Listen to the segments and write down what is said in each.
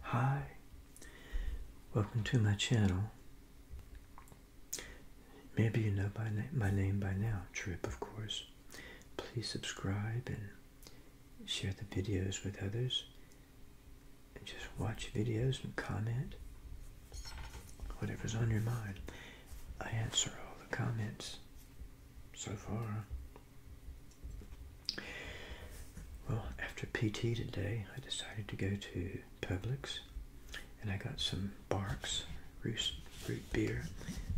Hi, welcome to my channel. Maybe you know my name by now, Trip, of course. Please subscribe and share the videos with others. And just watch videos and comment. Whatever's on your mind. I answer all the comments so far. Well, after PT today, I decided to go to Publix and I got some Barks root, beer.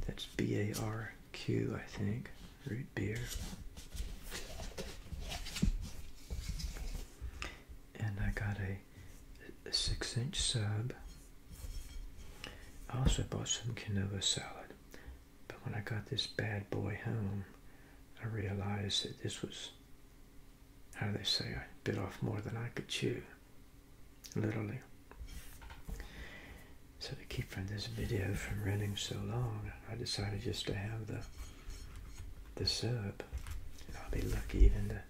That's B A R Q, I think, root beer. And I got a, a six inch sub. I also bought some quinoa salad. But when I got this bad boy home, I realized that this was, how do they say, I bit off more than I could chew, literally. So to keep from this video from running so long, I decided just to have the the sub. And I'll be lucky even to,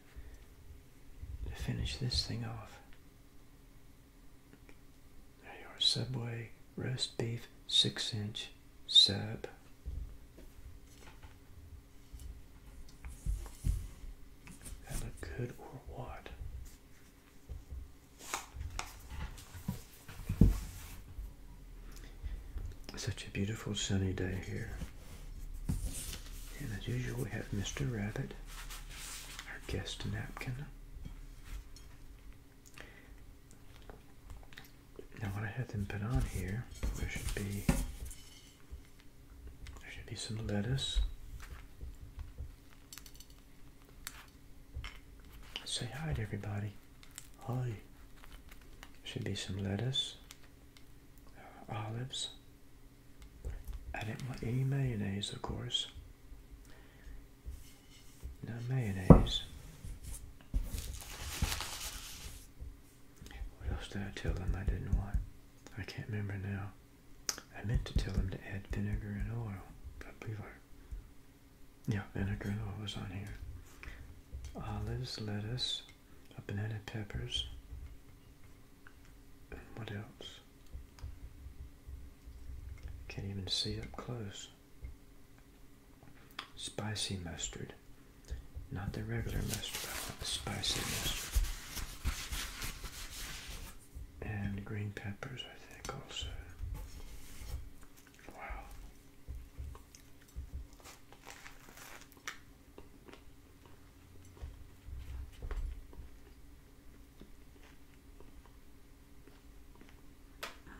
to finish this thing off. There you are, Subway roast beef six inch sub. That look good or what? Such a beautiful sunny day here. And as usual, we have Mr. Rabbit, our guest napkin. Now what I have them put on here, there should be there should be some lettuce. Say hi to everybody. Hi. Should be some lettuce, uh, olives. I didn't want any mayonnaise, of course. No mayonnaise. What else did I tell them I didn't want? I can't remember now. I meant to tell them to add vinegar and oil. I believe I... Yeah, vinegar and oil was on here. Olives, lettuce, banana peppers. what else? Can't even see up close. Spicy mustard. Not the regular mustard, but the spicy mustard. And green peppers, I think, also. Wow.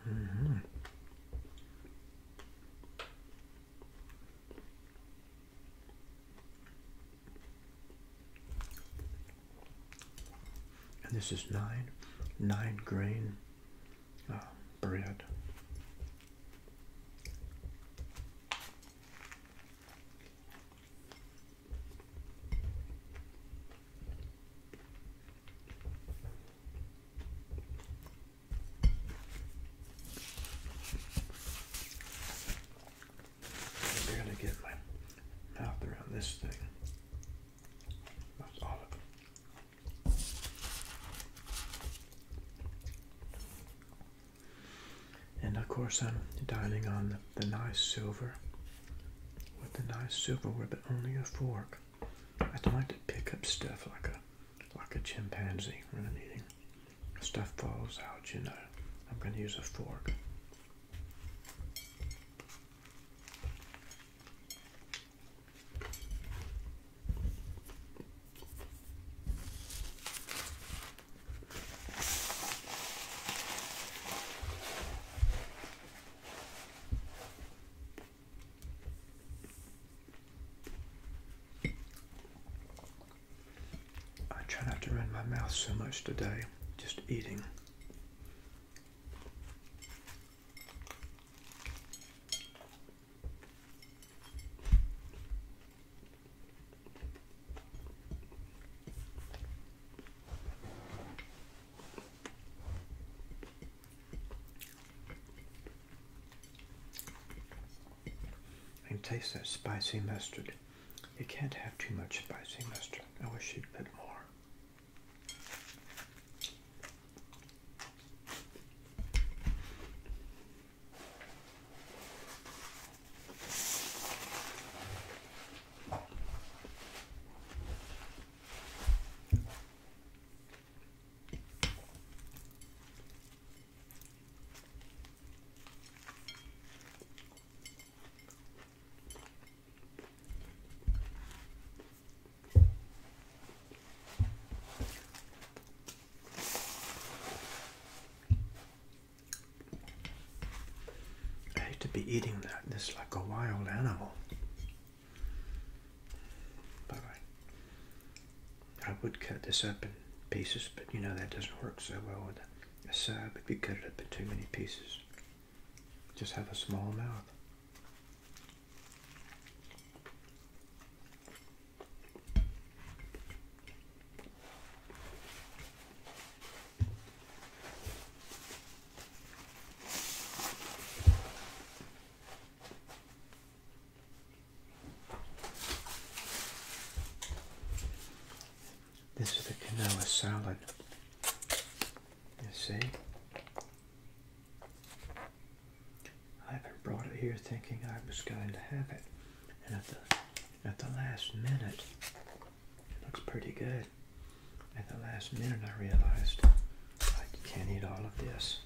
Mm-hmm. And this is nine, nine grain uh, bread. I'm barely get my mouth around this thing. That's all of it. And of course, I'm dining on the, the nice silver with the nice silverware, but only a fork i don't like to pick up stuff like a like a chimpanzee when I'm eating. Stuff falls out, you know. I'm gonna use a fork. I try not to run my mouth so much today, just eating. And taste that spicy mustard. You can't have too much spicy mustard. I wish you'd put more. I hate to be eating that. This like a wild animal. Bye bye. I would cut this up in pieces, but you know that doesn't work so well with a sub if you cut it up in too many pieces. Just have a small mouth. This is a canola salad. You see? I haven't brought it here thinking I was going to have it. And at the, at the last minute, it looks pretty good. At the last minute I realized I can't eat all of this.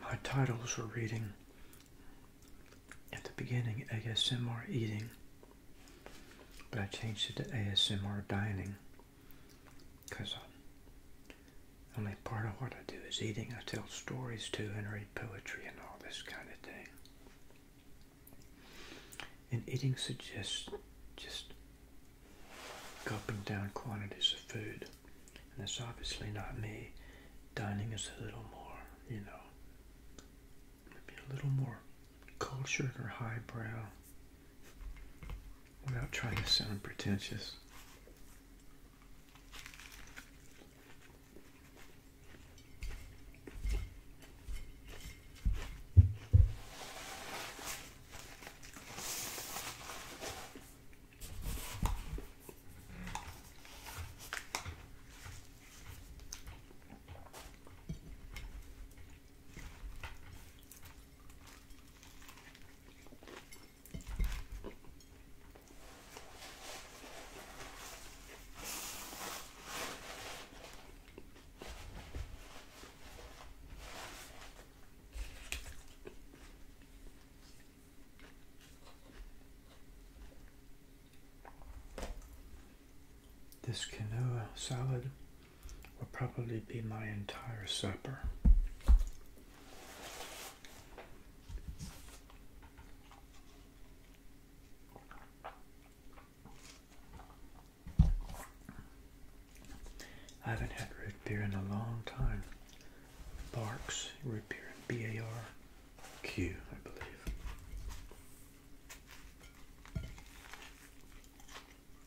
My titles were reading at the beginning ASMR eating, but I changed it to ASMR dining because uh, only part of what I do is eating. I tell stories too and read poetry and all this kind of thing. And eating suggests just gulping down quantities of food. And that's obviously not me. Dining is a little more, you know, maybe a little more cultured or highbrow without trying to sound pretentious. This canoa salad will probably be my entire supper. I haven't had root beer in a long time. Barks root beer, B A R Q, I believe.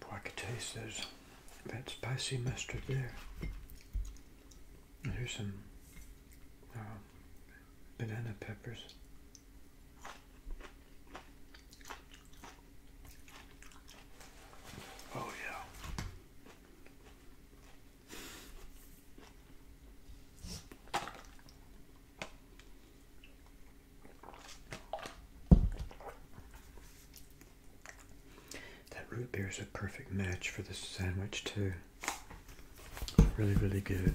Boy, I could taste those, that spicy mustard there. And here's some uh, banana peppers. Oh yeah. That root beer is a perfect match for this sandwich too. Really, really good.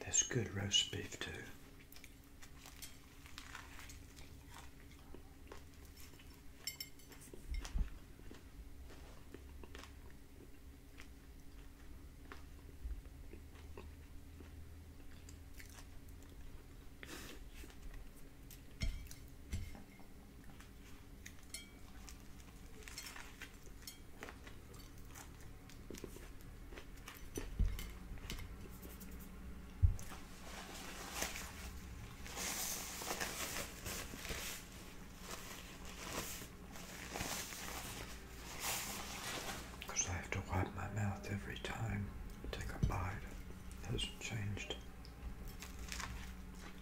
That's good roast beef too. Because I have to wipe my mouth every time I take a bite. hasn't changed.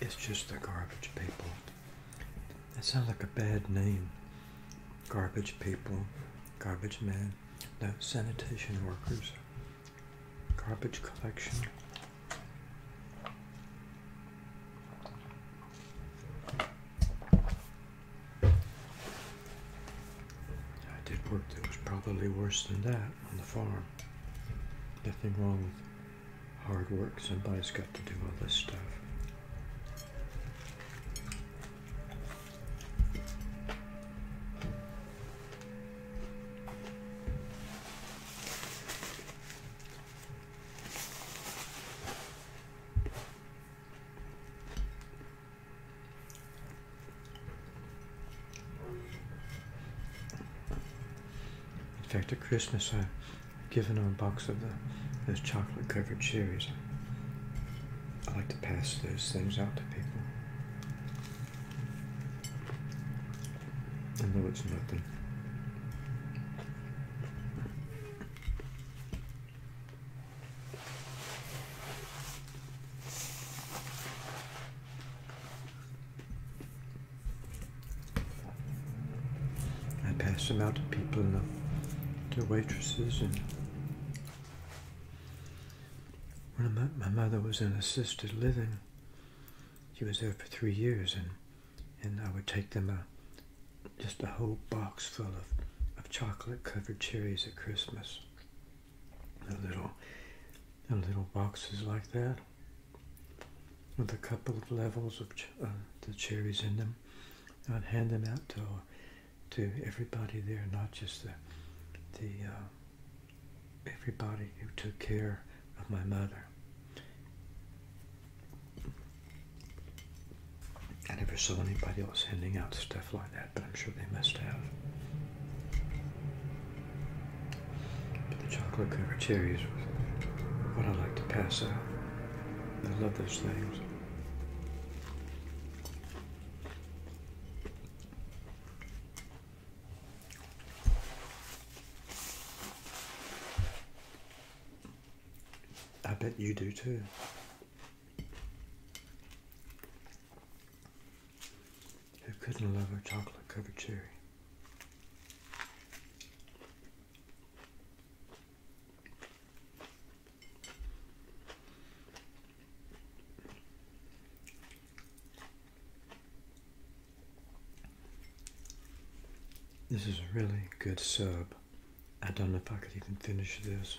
It's just the garbage people. That sounds like a bad name. Garbage people, garbage men, no, sanitation workers, garbage collection. I did work that was probably worse than that on the farm. Nothing wrong with hard work. Somebody's got to do all this stuff. In fact, at Christmas, I given her a box of those chocolate covered cherries. I like to pass those things out to people. I know it's nothing. I pass them out to people and uh, the, to waitresses and when my, my mother was in assisted living, she was there for three years and and I would take them a uh, just a whole box full of, of chocolate covered cherries at Christmas. The little, the little boxes like that with a couple of levels of uh, the cherries in them. I'd hand them out to, to everybody there, not just the, the uh, everybody who took care of my mother. I never saw anybody else handing out stuff like that, but I'm sure they must have. But the chocolate covered cherries what I like to pass out. I love those things. I bet you do too. Who couldn't love a chocolate covered cherry? This is a really good sub. I don't know if I could even finish this.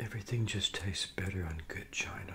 Everything just tastes better on good china.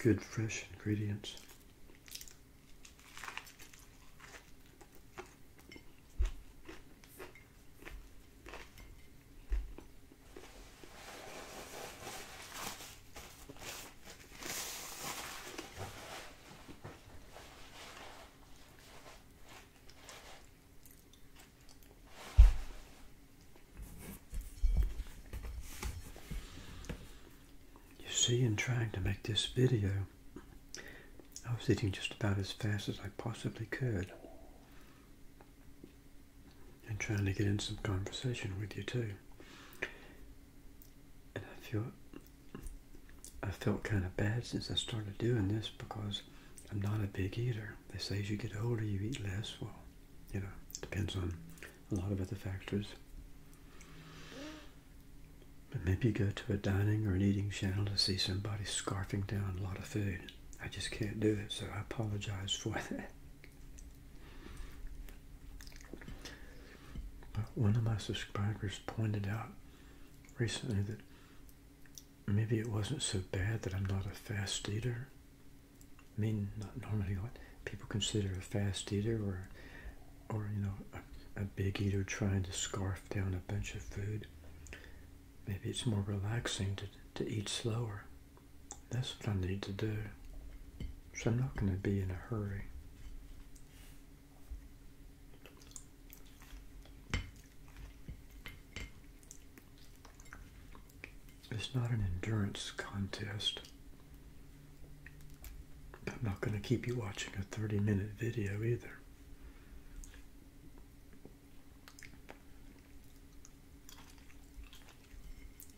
Good fresh ingredients. You see, in trying to make this video, I was eating just about as fast as I possibly could and trying to get in some conversation with you too. And I feel I felt kind of bad since I started doing this because I'm not a big eater. They say as you get older you eat less. Well, you know, depends on a lot of other factors. But maybe you go to a dining or an eating channel to see somebody scar down a lot of food. I just can't do it, so I apologize for that. But one of my subscribers pointed out recently that maybe it wasn't so bad that I'm not a fast eater. I mean, not normally what people consider a fast eater or, or you know, a big eater trying to scarf down a bunch of food. Maybe it's more relaxing to, to eat slower. That's what I need to do. So I'm not going to be in a hurry. It's not an endurance contest. I'm not going to keep you watching a 30 minute video either.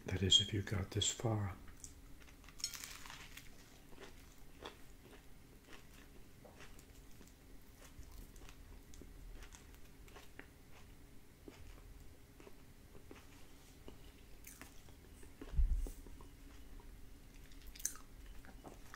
That is, if you got this far.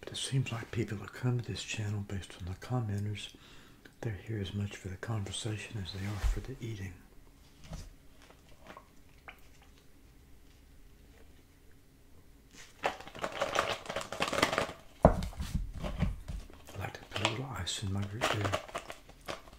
But it seems like people who come to this channel based on the commenters, they're here as much for the conversation as they are for the eating. I like to put a little ice in my root beer.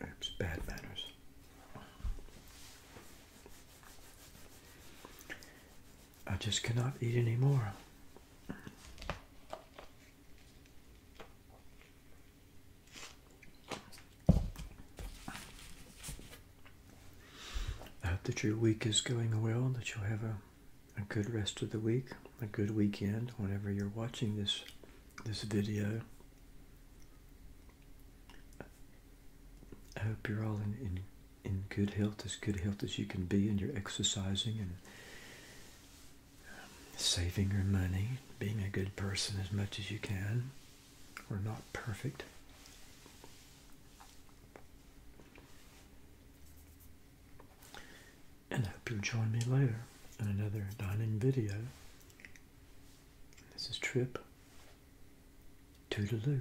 it's bad manners. I just cannot eat anymore. I hope that your week is going well, that you'll have a, a good rest of the week, a good weekend whenever you're watching this this video. I hope you're all in, in, in good health, as good health as you can be, and you're exercising and saving your money, being a good person as much as you can. We're not perfect. And I hope you'll join me later in another dining video. This is Trip Toodaloo.